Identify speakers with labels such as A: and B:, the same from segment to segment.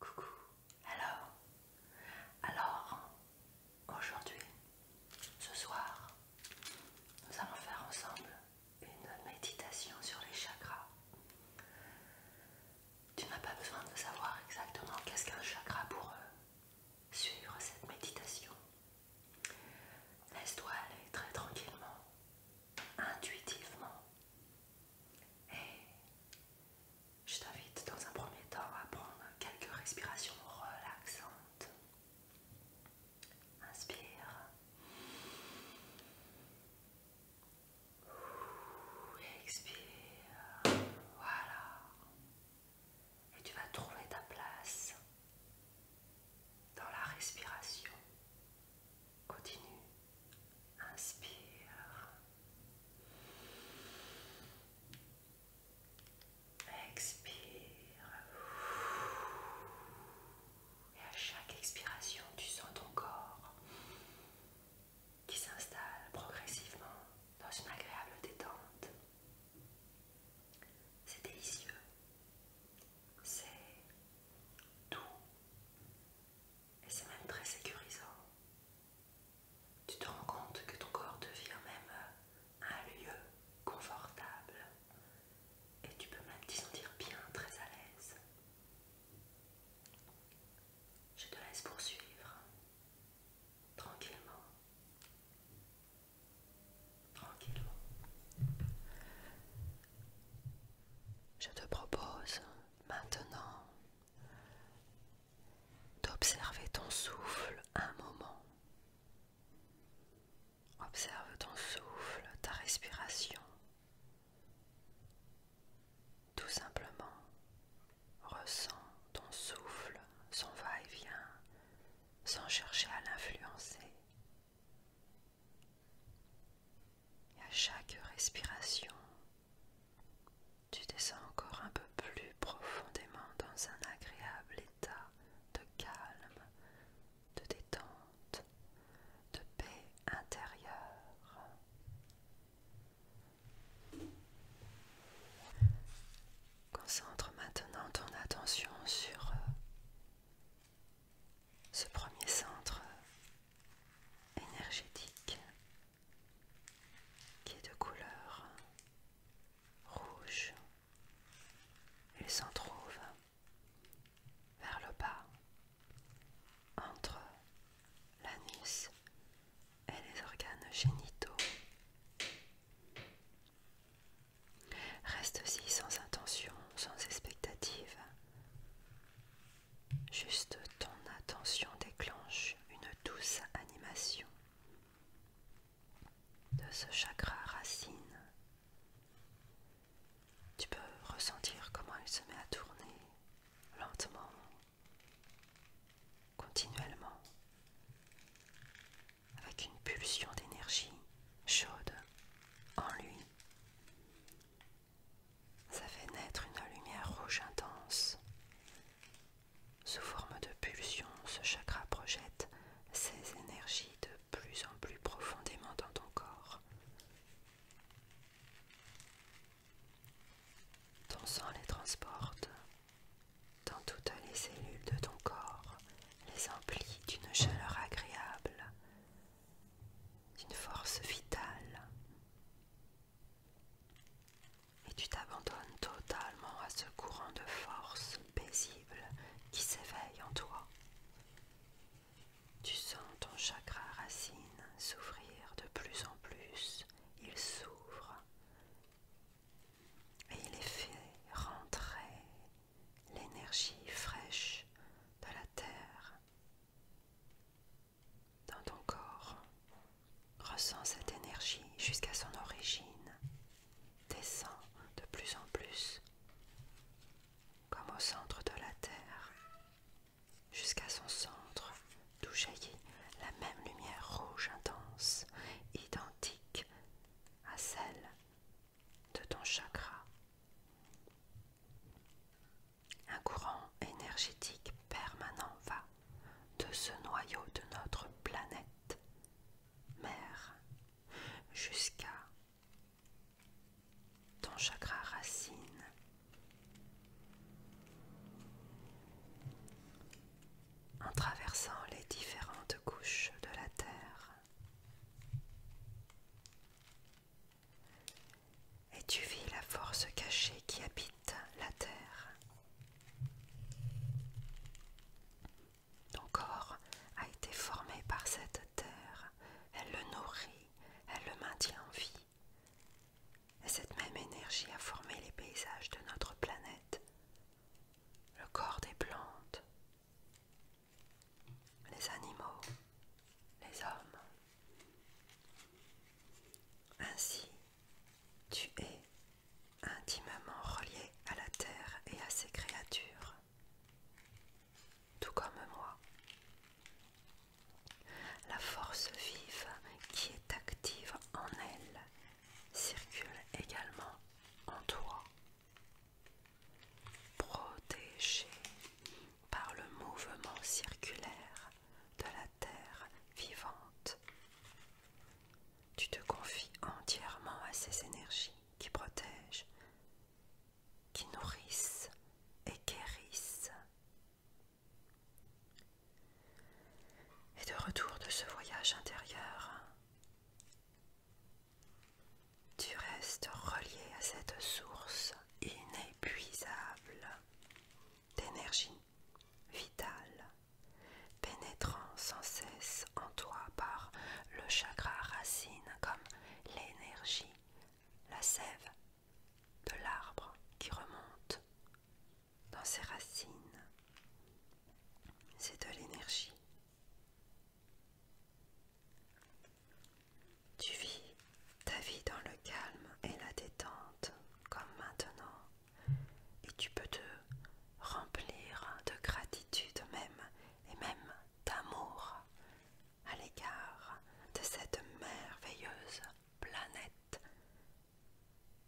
A: Coucou, alors, alors, aujourd'hui, ce soir, nous allons faire ensemble une méditation sur les chakras. Tu n'as pas besoin de savoir exactement qu'est-ce qu'un chakra pour eux. Suivre cette méditation. Laisse-toi aller très tranquillement, intuitivement, et je t'invite dans un premier temps à prendre quelques respirations relaxantes. Inspire. Expire. Voilà. Et tu vas trouver ta place dans la respiration. Continue. Inspire. Expire. Et à chaque expiration, tu sens ton corps qui s'installe progressivement dans une agréable détente. C'est délicieux. C'est doux. Et c'est même très sécurisant. Tu te rends compte que ton corps devient même euh, un lieu confortable. Et tu peux même t'y sentir bien, très à l'aise. Je te laisse poursuivre tranquillement. Tranquillement. Je te propose maintenant d'observer ton souffle un moment. Observe ton souffle, ta respiration. Tout simplement, ressens ton souffle, son va-et-vient, sans chercher à l'influencer. Et à chaque respiration, tu descends encore un peu plus profondément dans un agréable état de calme, de détente, de paix intérieure. Concentre maintenant ton attention sur euh, ce premier centre énergétique qui est de couleur rouge. Il s'en trouve vers le bas entre l'anus et les organes génitaux. reste aussi sans intention, sans expectative, Juste ton attention déclenche une douce animation de ce chakra racine. Tu peux ressentir comment il se met à tourner lentement, continuellement, avec une pulsion d'énergie chaude en lui ça fait naître une lumière rouge intense. Sous forme de pulsions, ce chakra projette ses énergies de plus en plus profondément dans ton corps. Ton sang les transporte dans toutes les cellules de ton corps, les emplit d'une chaleur agréable d'une force vitale. Et tu t'abandonnes totalement à ce courant de force paisible qui s'éveille en toi. Tu sens ton chakra racine s'ouvrir de plus en plus. Il s'ouvre et il est fait rentrer l'énergie fraîche de la terre dans ton corps. Ressens cette énergie jusqu'à son origine. descend de plus en plus, comme au centre de la Terre, jusqu'à son centre, d'où jaillit la même lumière rouge intense, identique à celle de ton chakra. Un courant énergétique permanent va de ce noyau de notre planète mère jusqu'à ton chakra racine. En traversant les différentes couches de la Terre, et tu vis la force cachée qui habite la terre. Ton corps a été formé par cette terre, elle le nourrit, elle le maintient en vie. Et cette même énergie a formé les paysages de notre planète, le corps des plantes, les animaux, les hommes. Ainsi, tu es intimement relié à la terre et à ses créatures, tout comme moi. La force vive qui est active en elle circule également en toi. Protégé par le mouvement circulaire de la terre vivante. Tu te confies entièrement à ces énergies qui protègent, qui nourrissent et guérissent. Et de retour de ce voyage intérieur, tu restes relié à cette source inépuisable d'énergie vitale, pénétrant sans cesse en toi par le chakra racine comme l'énergie, la sève de l'arbre qui remonte dans ses racines. C'est de l'énergie. Tu vis ta vie dans le calme et la détente, comme maintenant, et tu peux te remplir de gratitude même, et même d'amour à l'égard de cette merveilleuse planète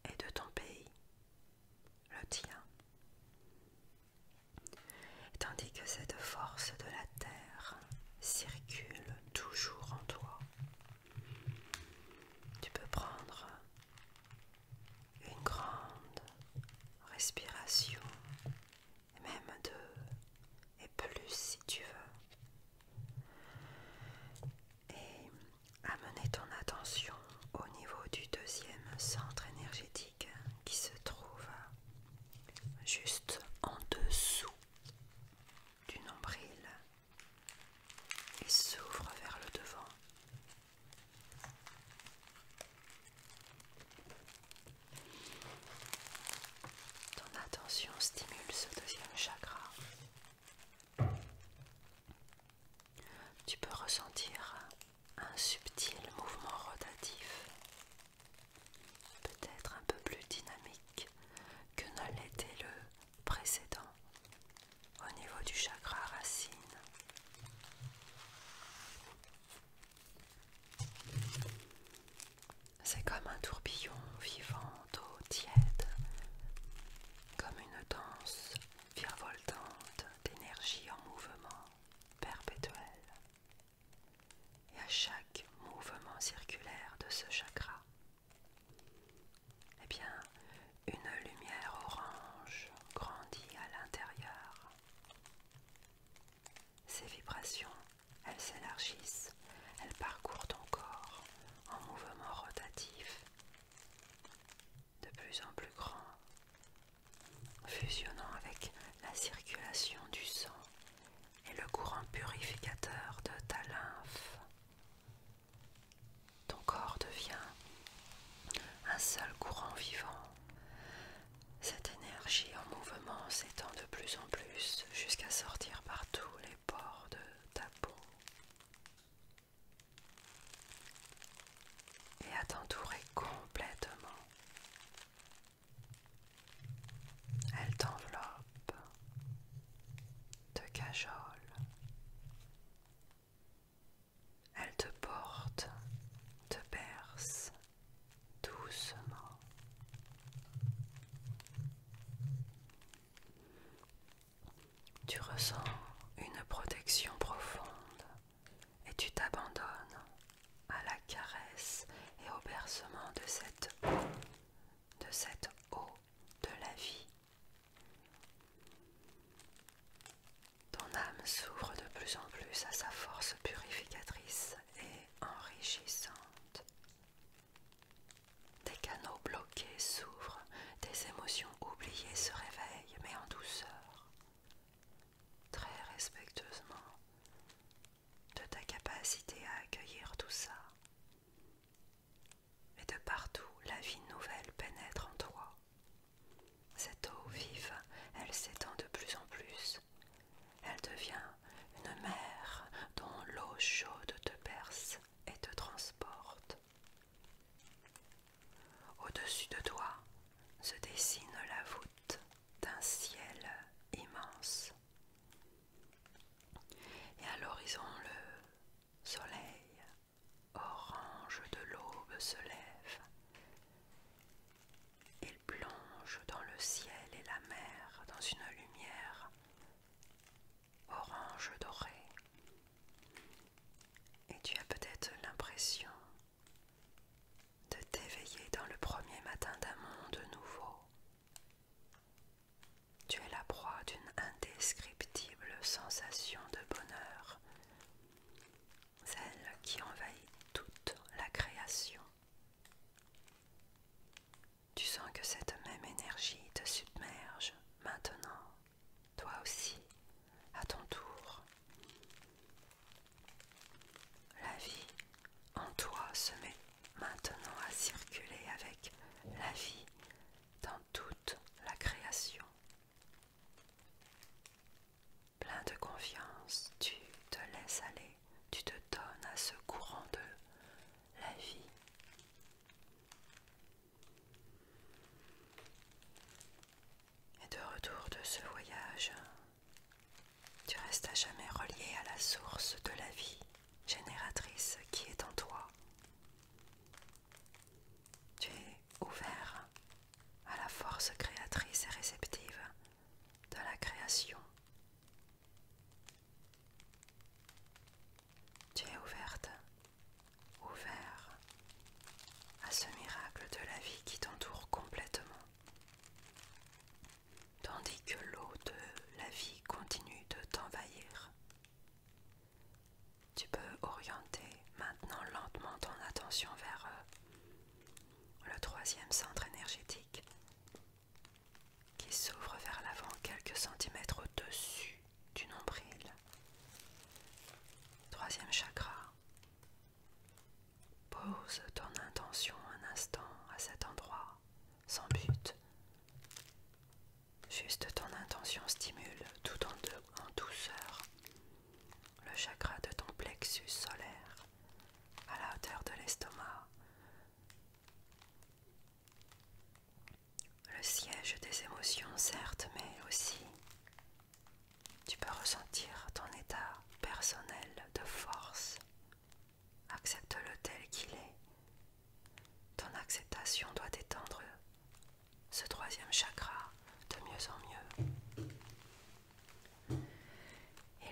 A: et de ton pays, le tien. Tandis que cette force de la Terre circule toujours en toi. Tu peux prendre une grande respiration, même deux et plus si tu veux. Et amener ton attention au niveau du deuxième centre énergétique qui se trouve juste en dessous du nombril et s'ouvre vers le devant. Ton attention stimule ce deuxième chakra. Tu peux ressentir un subtil mouvement rotatif peut-être un peu plus dynamique que ne l'était le précédent au niveau du chakra racine. C'est comme un tourbillon vivant d'eau tiède, comme une danse virevoltante d'énergie en mouvement perpétuel et à chaque mouvement circulaire de ce chakra, eh bien, une lumière orange grandit à l'intérieur. Ces vibrations, elles s'élargissent, elles parcourent ton corps en mouvement rotatif, de plus en plus grand, fusionnant avec la circulation du sang et le courant purificateur de ta lymphe. Ton corps devient un seul courant vivant. Cette énergie en mouvement s'étend de plus en plus jusqu'à sortir par tous les pores de ta peau. Et à t'entourer complètement elle t'enveloppe, te cajole, elle te porte, te berce doucement. Tu ressens une protection profonde et tu t'abandonnes à la caresse et au bercement de cette de cette eau de la vie. Ton âme s'ouvre de plus en plus à sa force purificatrice et enrichissante. Des canaux bloqués s'ouvrent, des émotions oubliées se réveillent, mais en douceur, très respectueusement, de ta capacité à accueillir tout ça. Et de partout, la vie nouvelle pénètre en toi. Cette eau vive, elle s'étend de plus en plus. Elle devient une mer dont l'eau chaude te perce et te transporte. Au-dessus de toi se dessine la voûte d'un ciel immense et à l'horizon, le soleil orange de l'aube se lève. Il plonge dans le ciel et la mer dans une lumière orange dorée. Et tu as peut-être l'impression de t'éveiller dans le premier matin d'un monde nouveau. Tu es la proie d'une indescriptible sensation de bonheur, celle qui envahit toute la création. Tu sens que cette même énergie te submerge maintenant, toi aussi, à ton tour. La vie en toi se met maintenant à circuler avec la vie dans toute la création. Plein de confiance, tu te laisses aller, tu te donnes à ce courant de la vie. Et de retour de ce voyage, tu restes à jamais relié à la source de la vie génératrice qui est en toi. Tu es ouvert à la force créatrice et réceptive de la création. Tu es ouverte, ouvert à ce miracle de la vie qui t'entoure complètement tandis que l'eau de la vie continue de t'envahir. Tu peux orienter maintenant lentement ton attention vers euh, le troisième centre énergétique qui s'ouvre vers l'avant quelques centimètres au-dessus du nombril. Troisième chakra. Pose ton intention un instant à cet endroit sans but. Juste ton intention stimule tout en, en douceur le chakra de ton plexus solaire à la hauteur de l'estomac, le siège des émotions certes, mais aussi tu peux ressentir ton état personnel de force Accepte-le tel qu'il est. Ton acceptation doit étendre ce troisième chakra de mieux en mieux.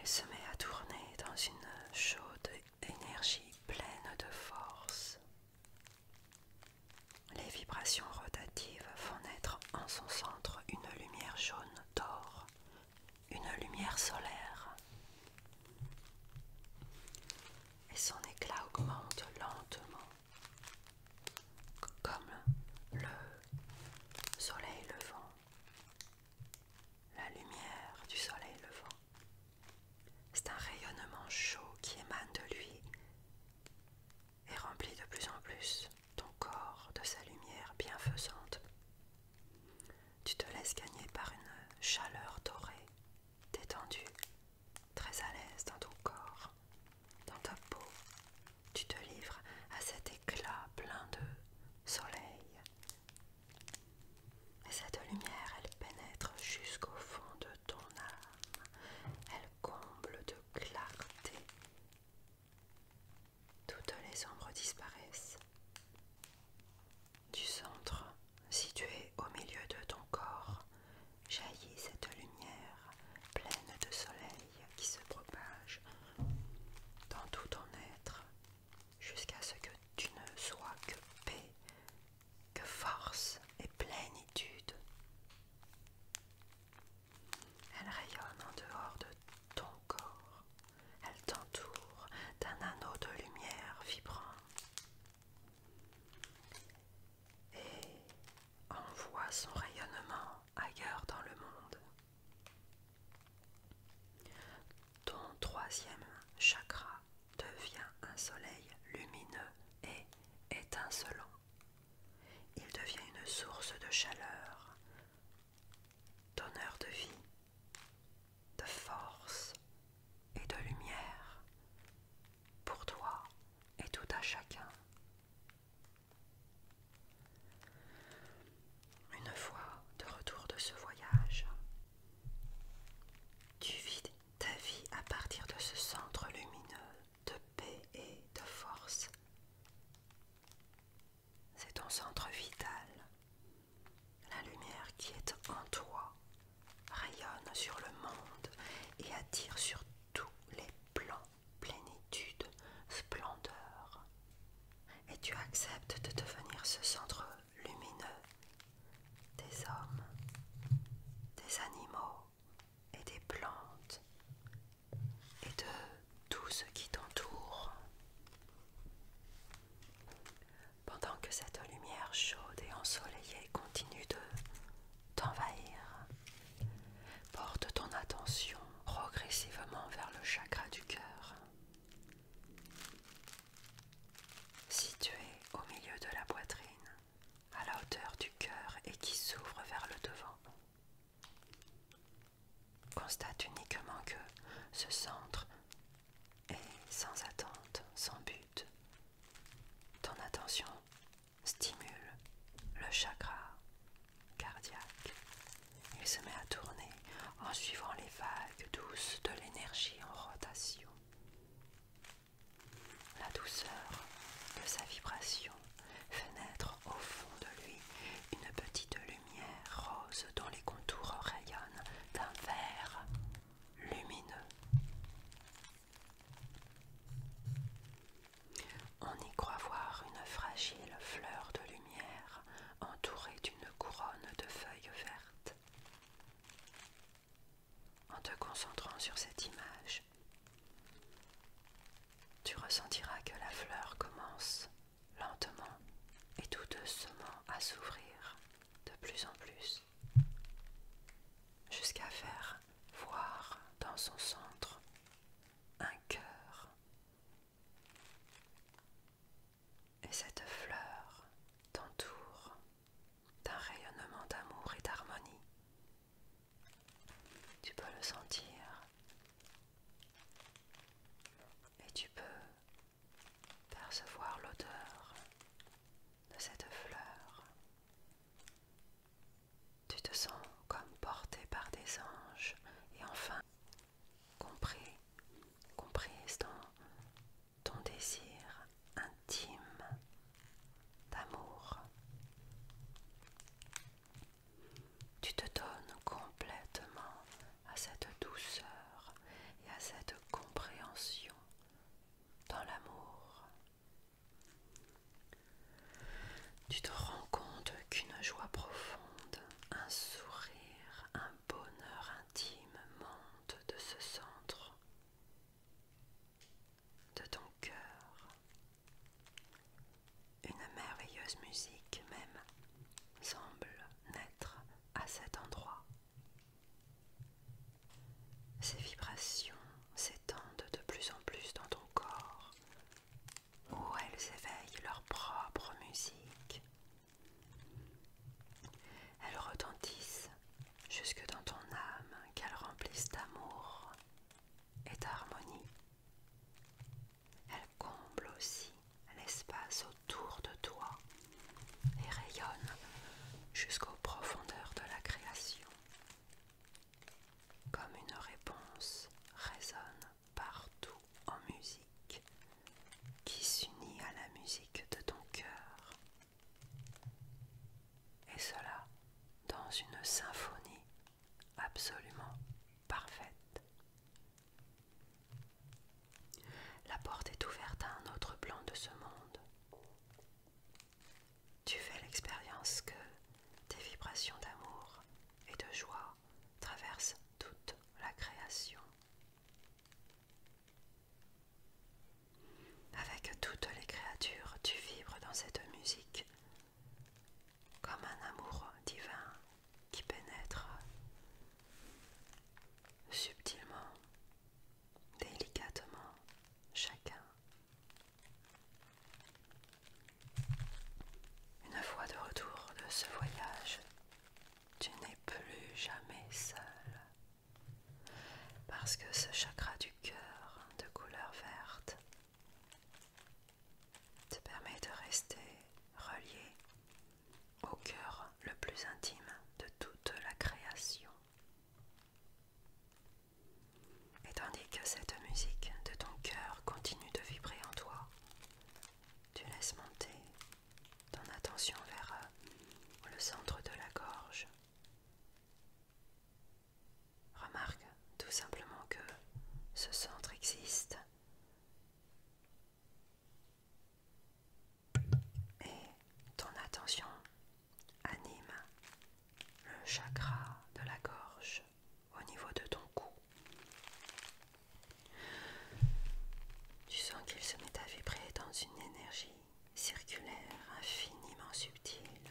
A: Il se met à tourner dans une chaude énergie pleine de force. Les vibrations rotatives font naître en son centre une lumière jaune d'or une lumière solaire et son éclat augmente lentement comme le soleil levant, la lumière du soleil levant. C'est un rayonnement chaud qui émane de lui et remplit de plus en plus ton corps de sa lumière bienfaisante. Tu te laisses gagner par une chaleur dorée, détendue, très à l'aise dans ton corps, dans ta peau. Tu te livres à cet éclat plein de soleil. Et cette lumière, elle pénètre jusqu'au fond de ton âme. Elle comble de clarté. Toutes les ombres disparaissent. Du centre, situé au milieu de ton corps, jaillit cette lumière pleine de soleil qui se propage dans tout ton être jusqu'à ce que tu ne sois que paix, que force et plénitude. Elle rayonne en dehors de ton corps. Elle t'entoure d'un anneau de lumière vibrant et envoie son rayonnement ailleurs dans le monde. Ton troisième chakra devient un soleil lumineux et étincelant. Il devient une source de chaleur, d'honneur de vie de force et de lumière pour toi et tout à chacun. Une fois de retour de ce voyage, tu vis ta vie à partir de ce centre lumineux de paix et de force. C'est ton centre vital la lumière qui est en toi rayonne sur le monde et attire sur tous les plans plénitude, splendeur. Et tu acceptes de devenir ce centre lumineux des hommes, des animaux et des plantes et de tout ce qui t'entoure pendant que cette lumière chaude et ensoleillée continue de t'envahir. Porte ton attention progressivement vers le chakra du cœur. Situé au milieu de la poitrine, à la hauteur du cœur et qui s'ouvre vers le devant. Constate uniquement que ce centre et sans attente, sans but. Ton attention stimule le chakra cardiaque. Il se met à tourner en suivant les vagues douces de l'énergie en rotation. La douceur de sa vibration fait naître au fond de lui une petite lumière rose dont les contours rayonnent d'un vert lumineux. On y croit voir une fragile fleur de lumière entourée d'une couronne de feuilles vertes. En te concentrant sur cette image, tu ressentiras que la fleur commence lentement et tout doucement à s'ouvrir de plus en plus, jusqu'à faire voir dans son centre un cœur. Et cette fleur t'entoure d'un rayonnement d'amour et d'harmonie. Tu peux le sentir et tu peux percevoir l'odeur de cette fleur. Tu te sens comme porté par des anges et enfin compris, compris dans ton désir intime d'amour. Tu te donnes complètement à cette douceur et à cette compréhension dans l'amour. Tu te rends compte qu'une joie profonde, un sourire, un bonheur intime monte de ce centre, de ton cœur. Une merveilleuse musique même semble naître à cet endroit. Ces vibrations s'étendent de plus en plus dans ton corps, où elles éveillent leur propre musique. Elles retentissent jusque dans ton âme qu'elles remplissent d'amour et d'harmonie. Elles comblent aussi l'espace autour de toi et rayonne jusqu'aux profondeurs de la création. Comme une réponse résonne partout en musique qui s'unit à la musique de ton cœur. Et cela dans une symphonie absolument parfaite. La porte est ouverte à un autre plan de ce monde. Tu fais l'expérience que tes vibrations d'amour et de joie traversent toute la création. Avec toutes les créatures, tu vibres dans cette musique comme un amour divin qui pénètre subtilement, délicatement, chacun. Une fois de retour de ce voyage, tu n'es plus jamais seul. Parce que ce chakra du cœur de couleur verte te permet de rester relié au cœur le plus intime de toute la création. Et tandis que cette musique de ton cœur continue de vibrer en toi, tu laisses monter ton attention vers euh, le centre de la gorge. Remarque tout simplement que ce centre existe et ton attention anime le chakra de la gorge au niveau de ton cou. Tu sens qu'il se met à vibrer dans une énergie circulaire infiniment subtile.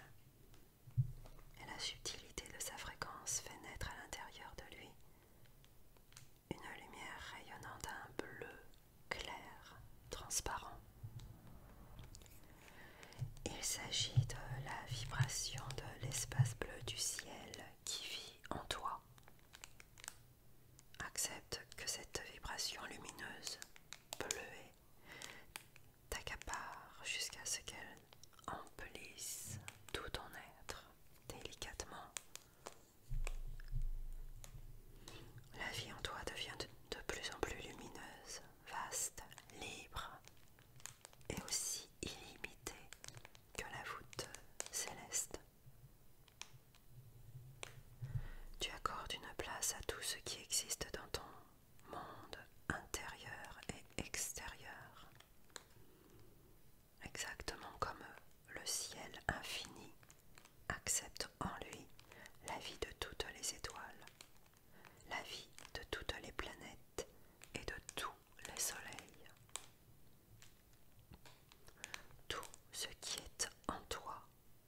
A: Et la subtilité de sa fréquence fait naître à l'intérieur de lui une lumière rayonnant d'un bleu clair, transparent. Il s'agit de la vibration de l'espace bleu du ciel qui vit en toi. Accepte que cette vibration lumineuse, bleuée, t'accapare jusqu'à ce qu'elle emplisse tout ton être délicatement la vie en toi devient de, plus en plus lumineuse, vaste, libre et aussi illimitée que la voûte céleste. Tu accordes une place à tout ce qui existe dans ton monde intérieur et extérieur exactement comme le ciel infini accepte en lui la vie de toutes les étoiles, la vie de toutes les planètes et de tous les soleils. Tout ce qui est en toi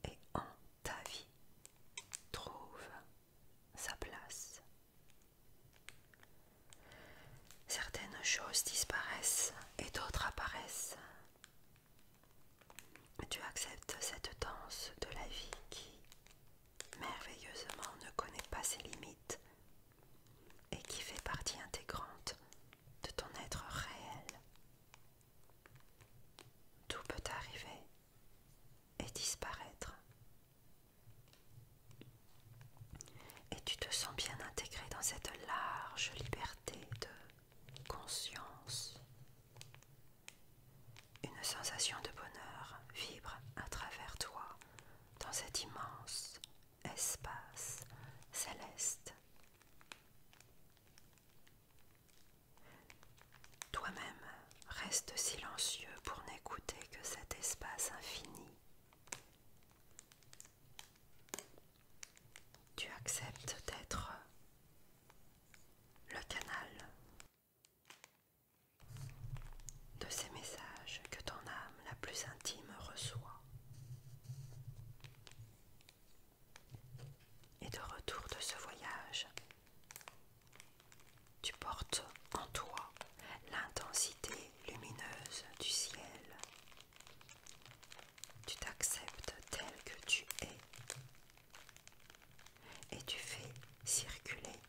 A: et en ta vie trouve sa place. Certaines choses disparaissent et d'autres apparaissent. Tu acceptes cette danse de la vie qui, merveilleusement, ne connaît pas ses limites et qui fait partie intégrante de ton être réel. Tout peut arriver et disparaître. Et tu te sens bien intégré dans cette large liberté de conscience. Une sensation de bonheur vibre à travers toi dans cet immense espace céleste. Toi-même reste silencieux pour n'écouter que cet espace infini tu acceptes d'être le canal de ces messages que ton âme la plus intime reçoit. Et de retour de ce voyage, tu portes en toi l'intensité lumineuse du ciel tu t'acceptes tel que tu es et tu fais circuler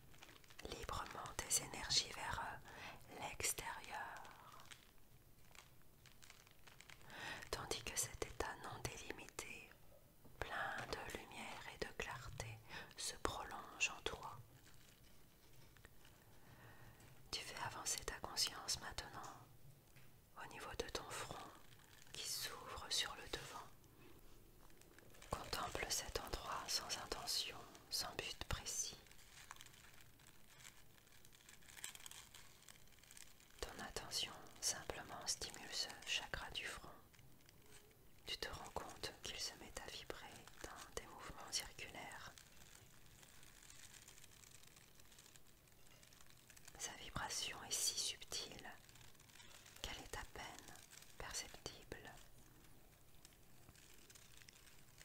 A: librement tes énergies vers euh, l'extérieur. Tandis que cet état non délimité, plein de lumière et de clarté, se prolonge en toi. Tu fais avancer ta conscience maintenant au niveau de ton front qui s'ouvre sur le devant. Contemple cet endroit sans intention, sans but précis. Ton attention simplement stimule ce chakra du front. Tu te rends compte qu'il se met à vibrer dans des mouvements circulaires. Sa vibration est si subtile qu'elle est à peine perceptible.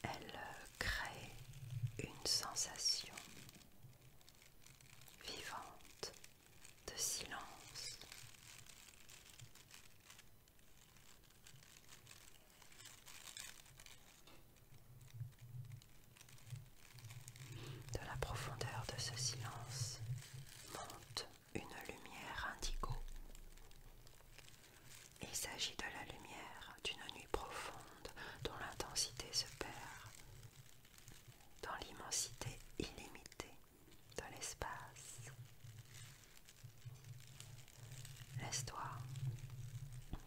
A: Elle crée une sensation vivante de silence. De la profondeur de ce silence monte une lumière indigo. Il s'agit de la lumière d'une nuit profonde dont l'intensité se perd dans l'immensité illimitée de l'espace. Laisse-toi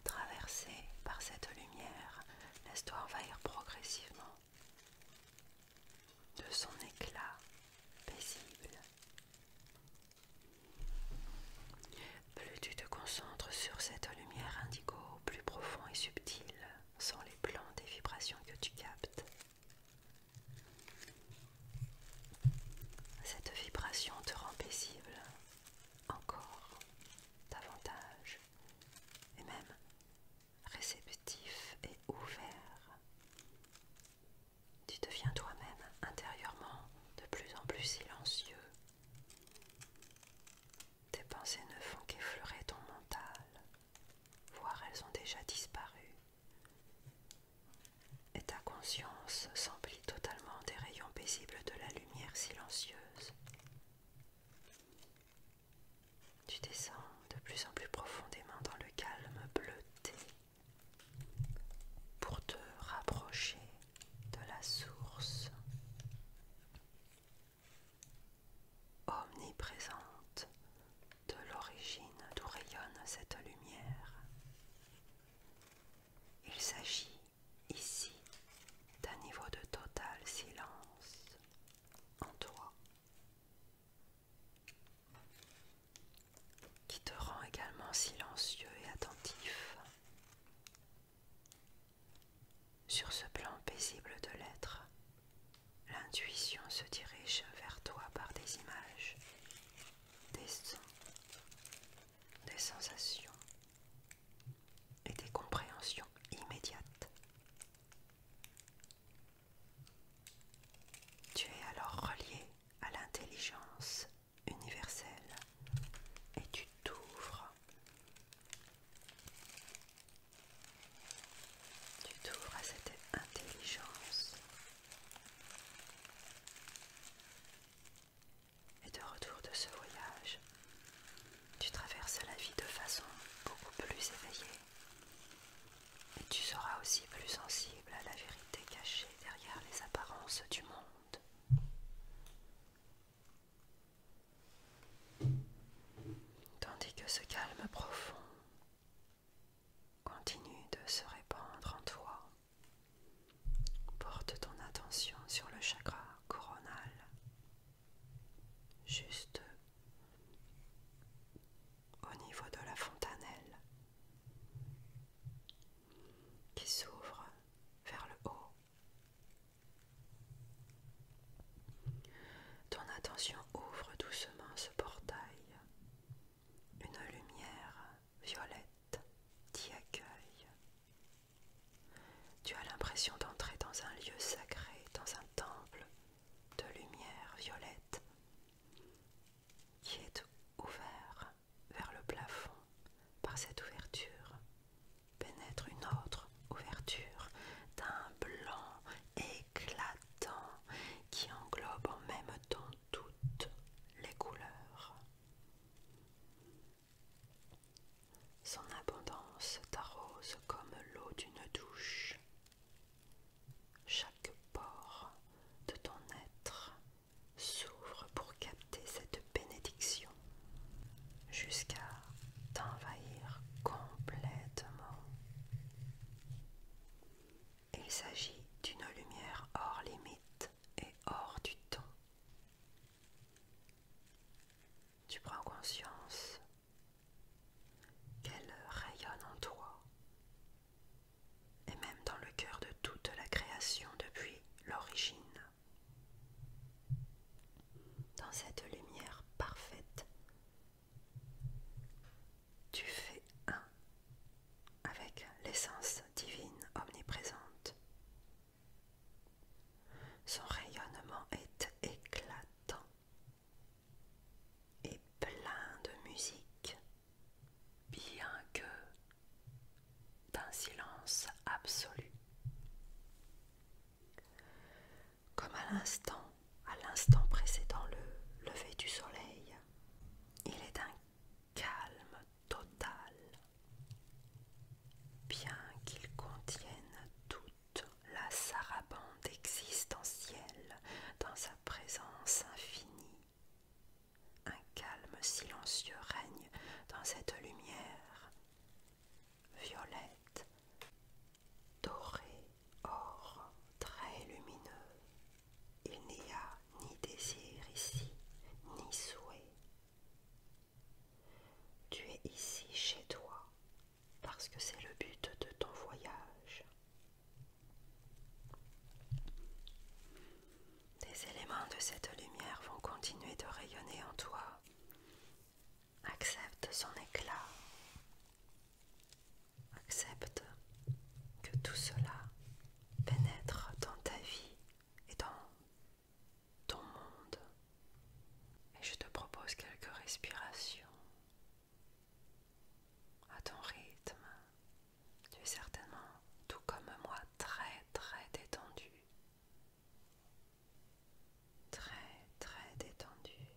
A: traverser par cette lumière L'histoire toi envahir progressivement de son éclat paisible. Plus tu te concentres sur cette lumière indigo, plus profond et subtil sont les plans des vibrations que tu captes. Cette vibration te rend paisible encore davantage et même réceptif et ouvert. Tu deviens toi-même intérieurement de plus en plus silencieux. Tes pensées ne font qu'effleurer ton mental, voire elles ont déjà disparu. Et ta conscience s'emplit totalement des rayons paisibles de la lumière silencieuse. Tu descends de plus en plus profondément dans le calme bleuté pour te rapprocher de la source omniprésente de l'origine d'où rayonne cette lumière. Il s'agit Ici, d'un niveau de total silence en toi, qui te rend également silencieux et attentif. Sur ce plan paisible de l'être, l'intuition se dirige vers toi par des images, des sons, des sensations, et des compréhensions immédiates. Tu es alors relié à l'intelligence universelle et tu t'ouvres. Tu t'ouvres à cette intelligence. Et de retour de ce voyage, tu traverses la vie de façon beaucoup plus éveillée. Et tu seras aussi plus sensible à la vérité cachée derrière les apparences du monde. Tandis que ce calme profond continue de se répandre en toi, porte ton attention sur le chakra coronal juste au niveau de la fontanelle qui s'ouvre vers le haut. Ton attention ouvre doucement ce portail. Une lumière violette t'y accueille. Tu as l'impression d'entrer dans un lieu sacré, dans un temple de lumière violette qui est ouvert vers le plafond. Par cette ouverture pénètre une autre ouverture d'un blanc éclatant qui englobe en même temps toutes les couleurs. Son abondance t'arrose comme l'eau d'une douche. Chaque port de ton être s'ouvre pour capter cette bénédiction jusqu'à t'envahir complètement. Il s'agit d'une lumière hors limite et hors du temps tu prends conscience qu'elle rayonne en toi et même dans le cœur de toute la création depuis l'origine. Dans cette lumière parfaite, tu fais un avec l'essence divine omniprésente son rayonnement est éclatant et plein de musique, bien que d'un silence absolu. Comme à l'instant, à l'instant précédant le lever du soleil, il est un calme total bien qu'il contienne toute la sarabande existentielle dans sa présence infinie. Un calme silencieux règne dans cette lumière violette, dorée, or, très lumineux. Il n'y a ni désir ici, ni souhait, tu es ici chez toi parce que c'est le but de ton voyage. Des éléments de cette lumière vont continuer de rayonner en toi. Accepte son éclat. Accepte que tout cela pénètre dans ta vie et dans ton monde. Et je te propose quelques respirations à ton rythme. Tu es certainement, tout comme moi, très très détendu. Très très détendu.